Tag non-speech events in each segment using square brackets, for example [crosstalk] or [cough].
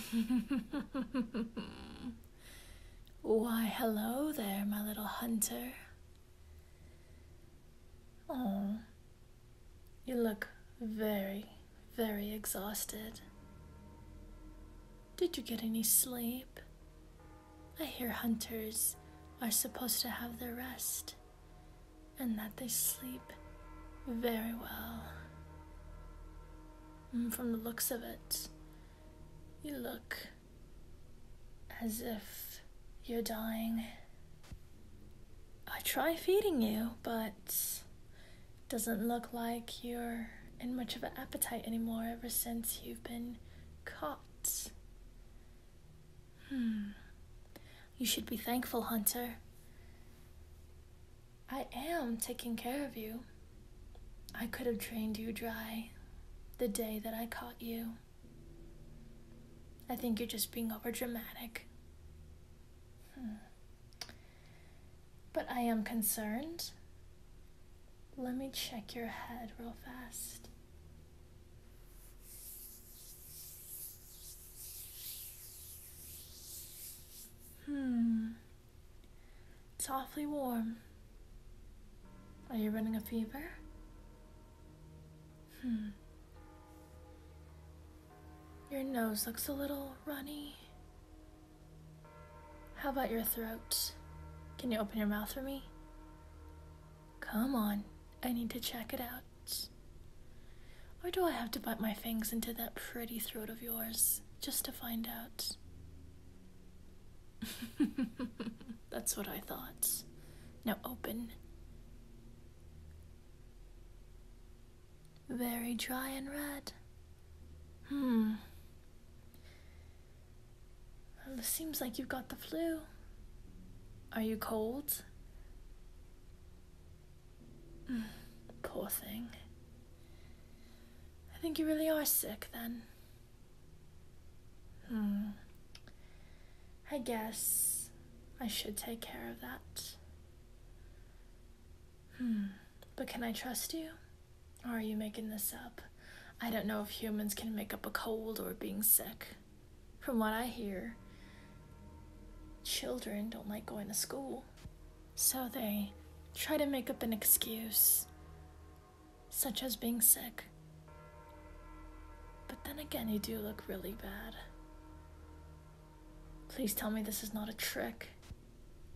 [laughs] Why, hello there, my little hunter. Oh, you look very, very exhausted. Did you get any sleep? I hear hunters are supposed to have their rest and that they sleep very well. And from the looks of it, you look as if you're dying. I try feeding you, but doesn't look like you're in much of an appetite anymore ever since you've been caught. Hmm. You should be thankful, Hunter. I am taking care of you. I could have drained you dry the day that I caught you. I think you're just being overdramatic. Hmm. But I am concerned. Let me check your head real fast. Hmm. It's awfully warm. Are you running a fever? Hmm. Your nose looks a little runny. How about your throat? Can you open your mouth for me? Come on, I need to check it out. Or do I have to bite my fangs into that pretty throat of yours just to find out? [laughs] That's what I thought. Now open. Very dry and red. Hmm. seems like you've got the flu. Are you cold? [sighs] poor thing. I think you really are sick then. Hmm. I guess I should take care of that. Hmm. But can I trust you? are you making this up? I don't know if humans can make up a cold or being sick from what I hear, children don't like going to school. So they try to make up an excuse, such as being sick. But then again, you do look really bad. Please tell me this is not a trick.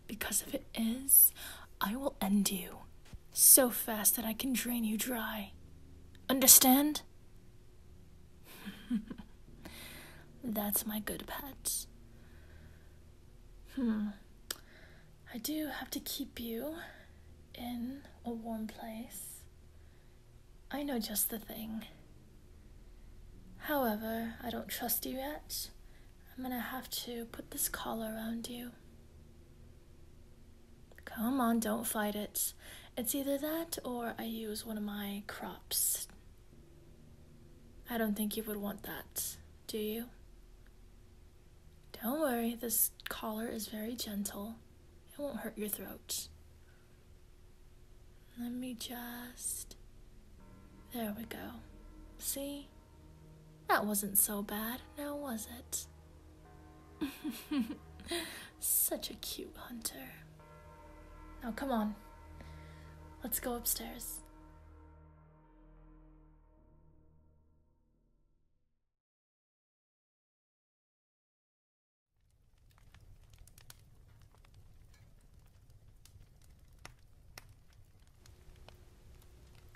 Because if it is, I will end you so fast that I can drain you dry. Understand? [laughs] That's my good pet. Hmm. I do have to keep you in a warm place. I know just the thing. However, I don't trust you yet. I'm gonna have to put this collar around you. Come on, don't fight it. It's either that or I use one of my crops. I don't think you would want that, do you? Don't worry, this collar is very gentle. It won't hurt your throat. Let me just. There we go. See? That wasn't so bad, now was it? [laughs] Such a cute hunter. Now, come on. Let's go upstairs.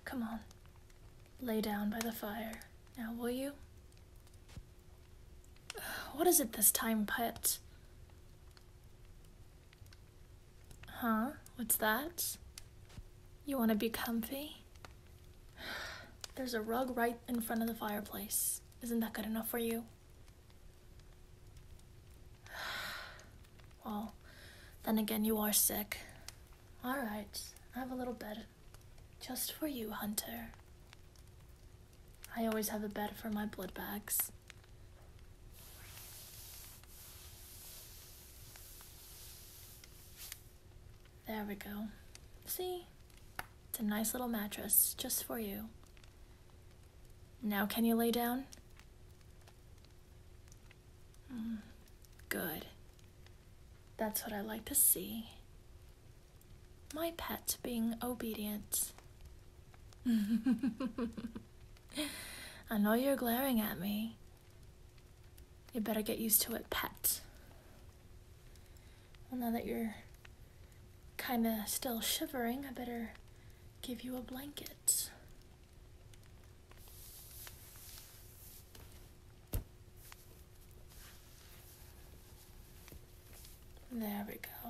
Come on. Lay down by the fire. Now, will you? What is it this time, pet? Huh? What's that? You want to be comfy? There's a rug right in front of the fireplace. Isn't that good enough for you? Well, then again, you are sick. Alright, I have a little bed. Just for you, Hunter. I always have a bed for my blood bags. There we go. See? It's a nice little mattress just for you. Now, can you lay down? Hmm, good. That's what I like to see my pet being obedient. [laughs] I know you're glaring at me. You better get used to it, pet. Well, now that you're kind of still shivering, I better give you a blanket. There we go.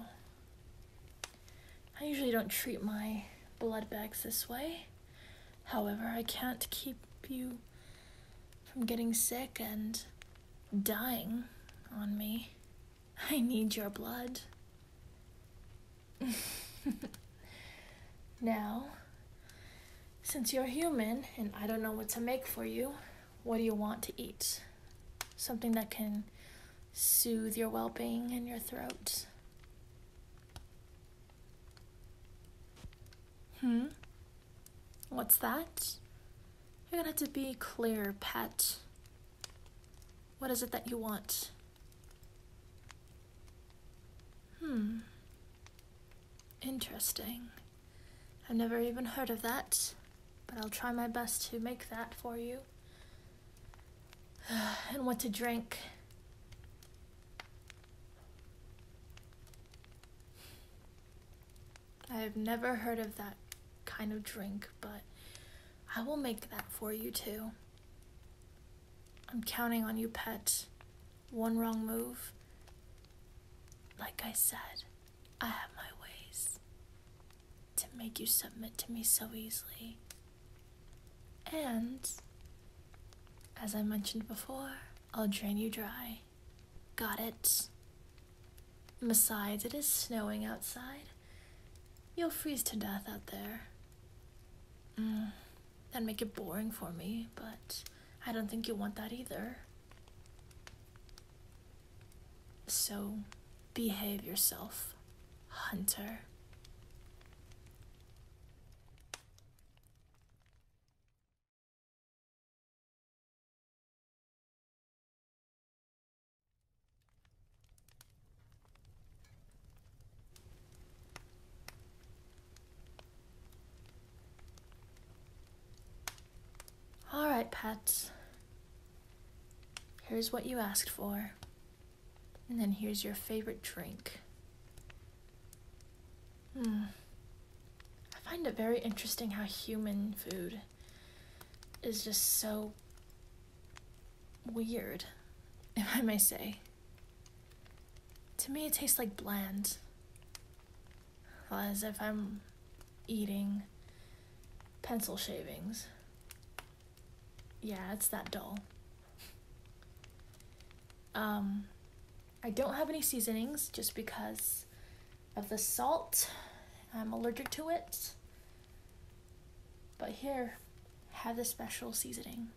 I usually don't treat my blood bags this way. However, I can't keep you from getting sick and dying on me. [laughs] I need your blood. [laughs] now, since you're human and I don't know what to make for you, what do you want to eat? Something that can soothe your well being and your throat. Hmm? What's that? You're gonna have to be clear, pet. What is it that you want? Hmm. Interesting. I've never even heard of that, but I'll try my best to make that for you. [sighs] and what to drink. I've never heard of that kind of drink, but I will make that for you too. I'm counting on you, pet. One wrong move. Like I said. I have my ways to make you submit to me so easily. And, as I mentioned before, I'll drain you dry. Got it? Besides, it is snowing outside. You'll freeze to death out there. Mm, that make it boring for me, but I don't think you want that either. So behave yourself, Hunter. All right, pets. Here's what you asked for. And then here's your favorite drink. Hmm. I find it very interesting how human food is just so weird, [laughs] if I may say. To me, it tastes like bland as if I'm eating pencil shavings. Yeah, it's that dull. Um, I don't have any seasonings just because of the salt. I'm allergic to it. But here, have the special seasoning.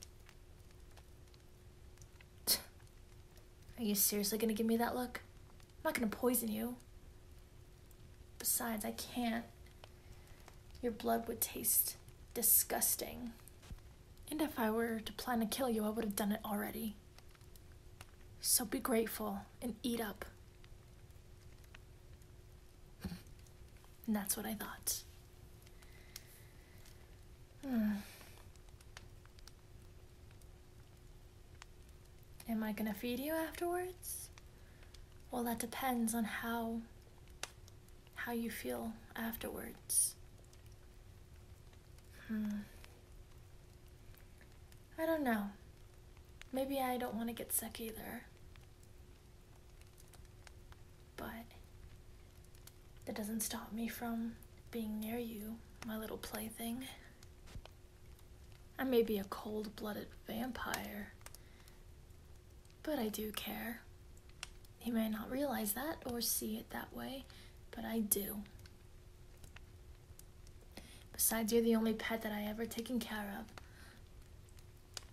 Are you seriously gonna give me that look? I'm not gonna poison you. Besides, I can't. Your blood would taste disgusting. And if I were to plan to kill you, I would have done it already. So be grateful and eat up. And that's what I thought. Hmm. Am I gonna feed you afterwards? Well, that depends on how how you feel afterwards. Hmm. I don't know. Maybe I don't want to get sick either. But that doesn't stop me from being near you, my little plaything. I may be a cold blooded vampire, but I do care. He may not realize that or see it that way, but I do. Besides, you're the only pet that I ever taken care of.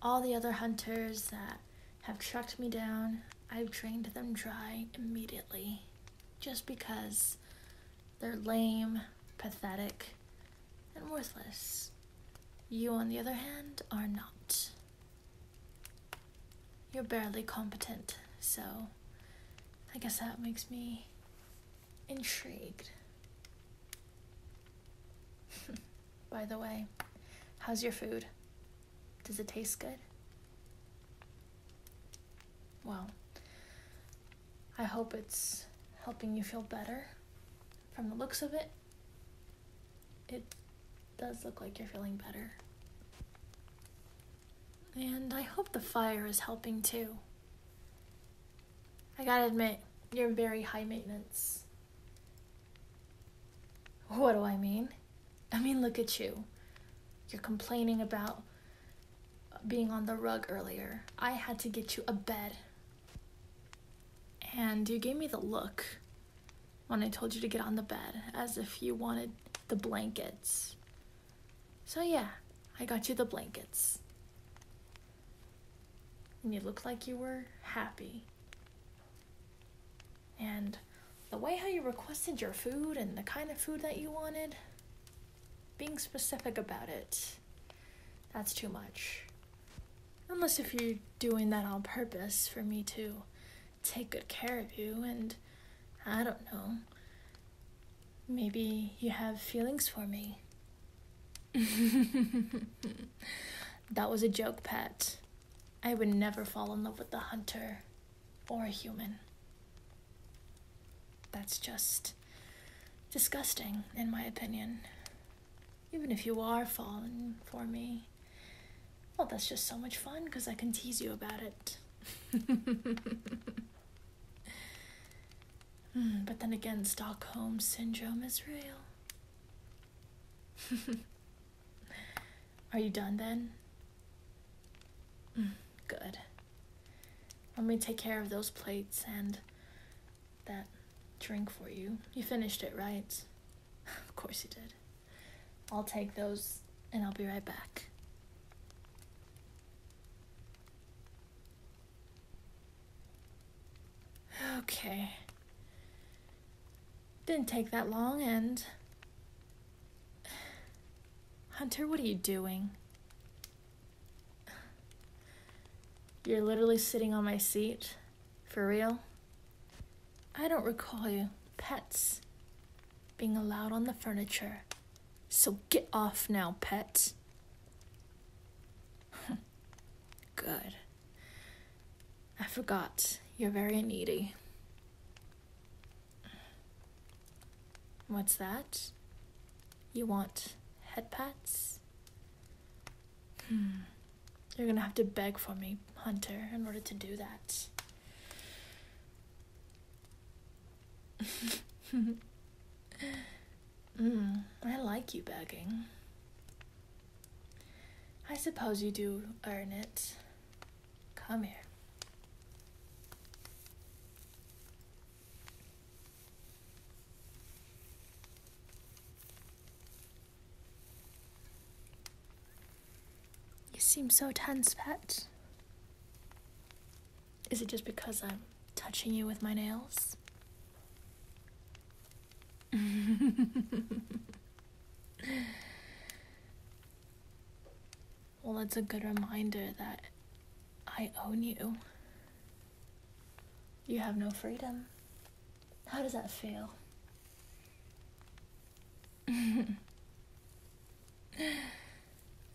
All the other hunters that have tracked me down, I've drained them dry immediately. Just because they're lame, pathetic, and worthless. You, on the other hand, are not. You're barely competent, so I guess that makes me intrigued. [laughs] By the way, how's your food? Does it taste good? Well, I hope it's helping you feel better from the looks of it. It does look like you're feeling better. And I hope the fire is helping too. I gotta admit, you're very high maintenance. What do I mean? I mean, look at you. You're complaining about being on the rug earlier. I had to get you a bed and you gave me the look when I told you to get on the bed, as if you wanted the blankets. So, yeah, I got you the blankets. And you looked like you were happy. And the way how you requested your food and the kind of food that you wanted, being specific about it, that's too much. Unless if you're doing that on purpose for me to take good care of you, and I don't know, maybe you have feelings for me. [laughs] that was a joke, pet. I would never fall in love with a hunter or a human. That's just disgusting, in my opinion. Even if you are falling for me, well, that's just so much fun because I can tease you about it. [laughs] Hmm, but then again, Stockholm Syndrome is real. [laughs] are you done then? Hmm, good. Let me take care of those plates and that drink for you. You finished it, right? of course you did. I'll take those and I'll be right back. Okay. Didn't take that long and. [sighs] Hunter, what are you doing? You're literally sitting on my seat? For real? I don't recall you. Pets. Being allowed on the furniture. So get off now, pet. [laughs] Good. I forgot. You're very needy. What's that? You want headpats? Hmm. You're gonna have to beg for me, Hunter, in order to do that. [laughs] Hmm. I like you begging. I suppose you do earn it. Come here. You seem so tense, pet. Is it just because I'm touching you with my nails? [laughs] well, that's a good reminder that I own you. You have no freedom. How does that feel? [laughs]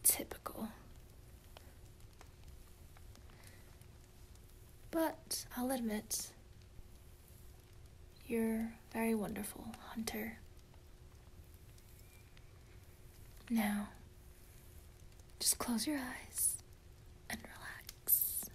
Typical. But I'll admit, you're very wonderful, Hunter. Now, just close your eyes and relax.